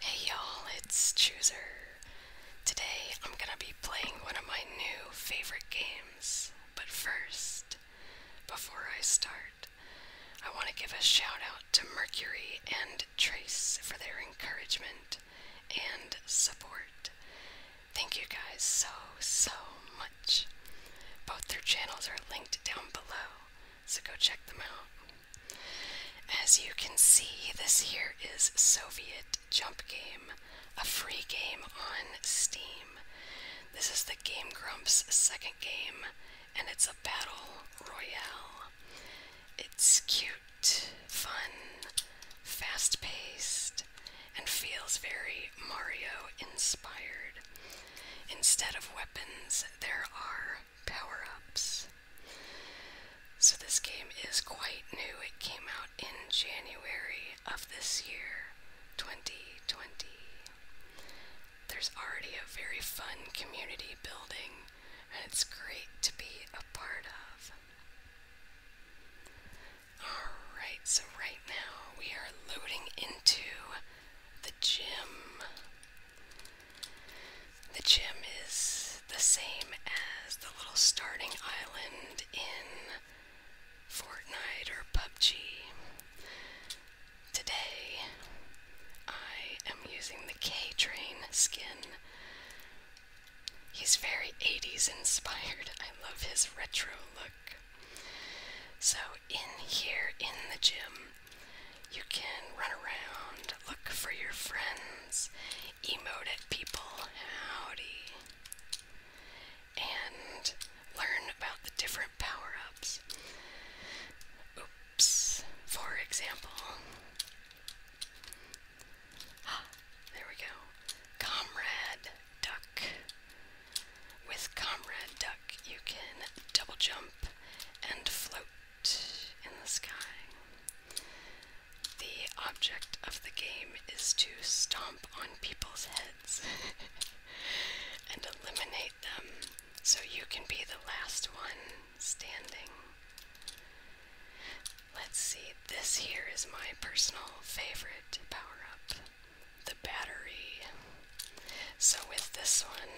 Hey y'all, it's Chooser. Today I'm gonna be playing one of my new favorite games. But first, before I start, I want to give a shout out to Mercury and Trace for their encouragement and support. Thank you guys so, so much. Both their channels are linked down below, so go check them out. As you can see, this here is Soviet Jump Game, a free game on Steam. This is the Game Grumps second game, and it's a battle royale. It's cute, fun, fast paced, and feels very Mario inspired. Instead of weapons, there are power ups. So, this game is quite new. It came out in January of this year, 2020. There's already a very fun community building, and it's great to be a part of. Alright, so right now we are loading into the gym. The gym is the same as the little starting island in Fortnite or PUBG. Today, I am using the K Train skin. He's very 80s inspired. I love his retro look. So, in here in the gym, you can run around, look for your friends, emote at people, howdy, and learn about the different power ups. Oops, for example. Ah, there we go. Comrade Duck. With Comrade Duck, you can double jump and float in the sky. The object of the game is to stomp on people's heads and eliminate them so you can be the last one standing. Let's see, this here is my personal favorite power up the battery. So, with this one,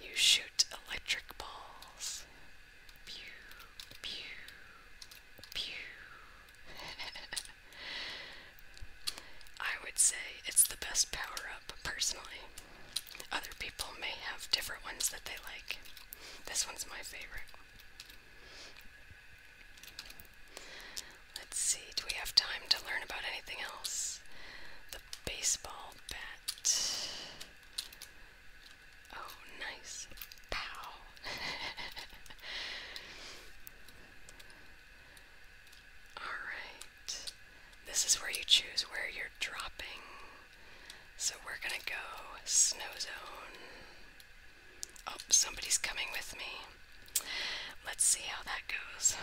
you shoot electric balls. Pew, pew, pew. I would say it's the best power up, personally. Other people may have different ones that they like. This one's my favorite. Let's see, do we have time to learn about anything else? The baseball Oh, nice. Pow. Alright. This is where you choose where you're dropping. So we're gonna go snow zone. Oh, somebody's coming with me. Let's see how that goes.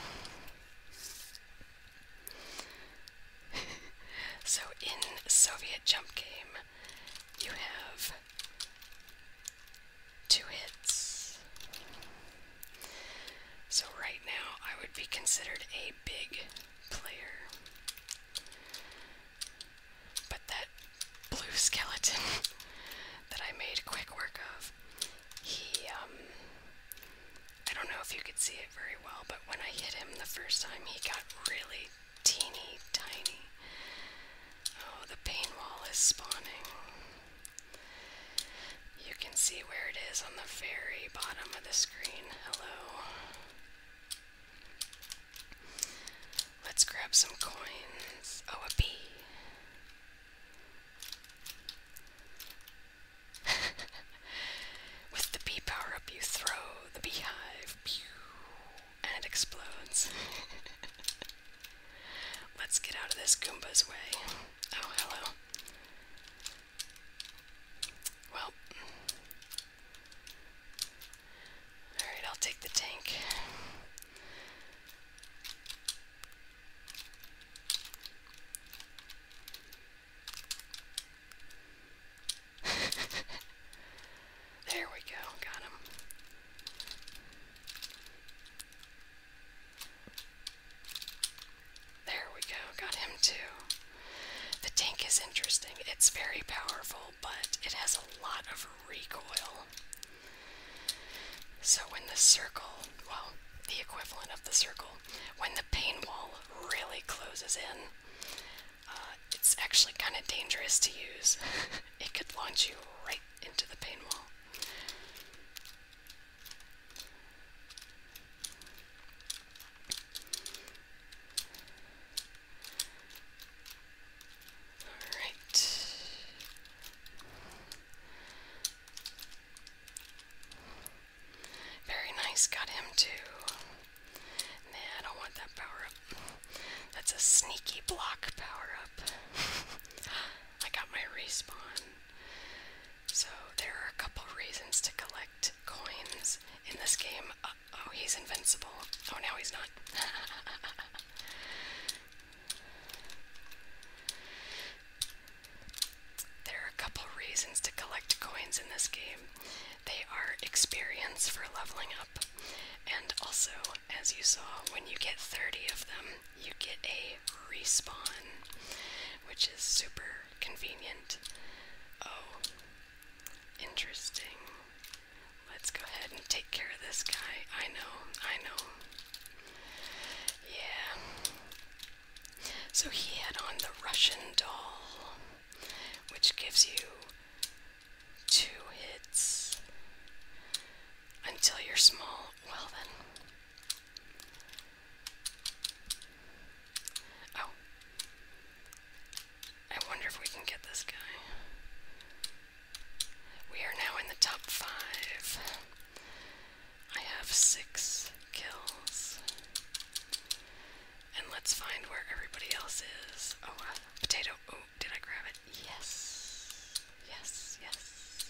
so in Soviet jump game, you have two hits. So right now, I would be considered a big player. But that blue skeleton that I made quick work of, he um I don't know if you could see it very well, but when I hit him the first time, he got really teeny tiny. Oh, the pain wall is spawning. You can see where it is on the very bottom of the screen. Hello. Let's grab some coins. Oh, a bee. With the bee power up, you throw the beehive, pew, and it explodes. Let's get out of this Goomba's way. Oh, hello. Well. Alright, I'll take the tank. there we go, got him. There we go, got him too. The tank is interesting. It's very powerful, but it has a lot of recoil. So when the circle, well, the equivalent of the circle, when the pain wall really closes in. Uh, it's actually kind of dangerous to use. it could launch you right into the pain wall. All right. Very nice, got him too. Man, I don't want that power up. That's a sneaky block power up. I got my respawn. So, there are a couple reasons to collect coins in this game. Uh, oh, he's invincible. Oh, now he's not. There are a couple reasons to collect coins in this game. They are experience for leveling up, and also, as you saw, when you get 30 of them, you get a respawn, which is super convenient. Oh, interesting. Let's go ahead and take care of this guy. I know, I know. Yeah. So he had on the Russian doll, which gives you two hits until you're small. Well, then. Oh. I wonder if we can get this guy. We are now in the top five. I have six kills. And let's find where everybody else is. Oh, uh, potato. Oh, did I grab it? Yes. Yes, yes.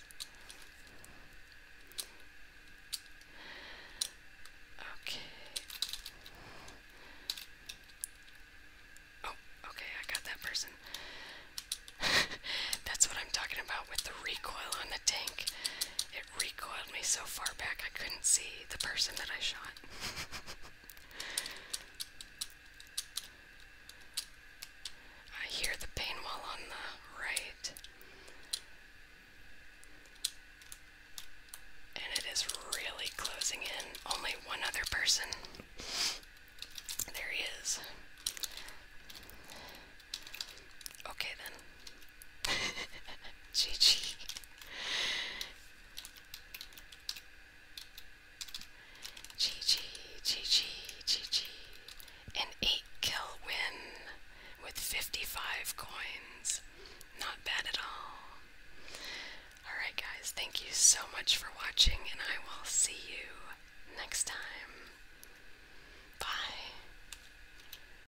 Okay. Oh, okay, I got that person. That's what I'm talking about with the recoil on the tank. It recoiled me so far back I couldn't see the person that I shot. I hear the pain wall on the right. And it is really closing in. Only one other person. There he is. Okay then. GG. GG, GG, GG. An 8 kill win with 55 coins. Not bad at all. Alright, guys, thank you so much for watching, and I will see you next time. Bye.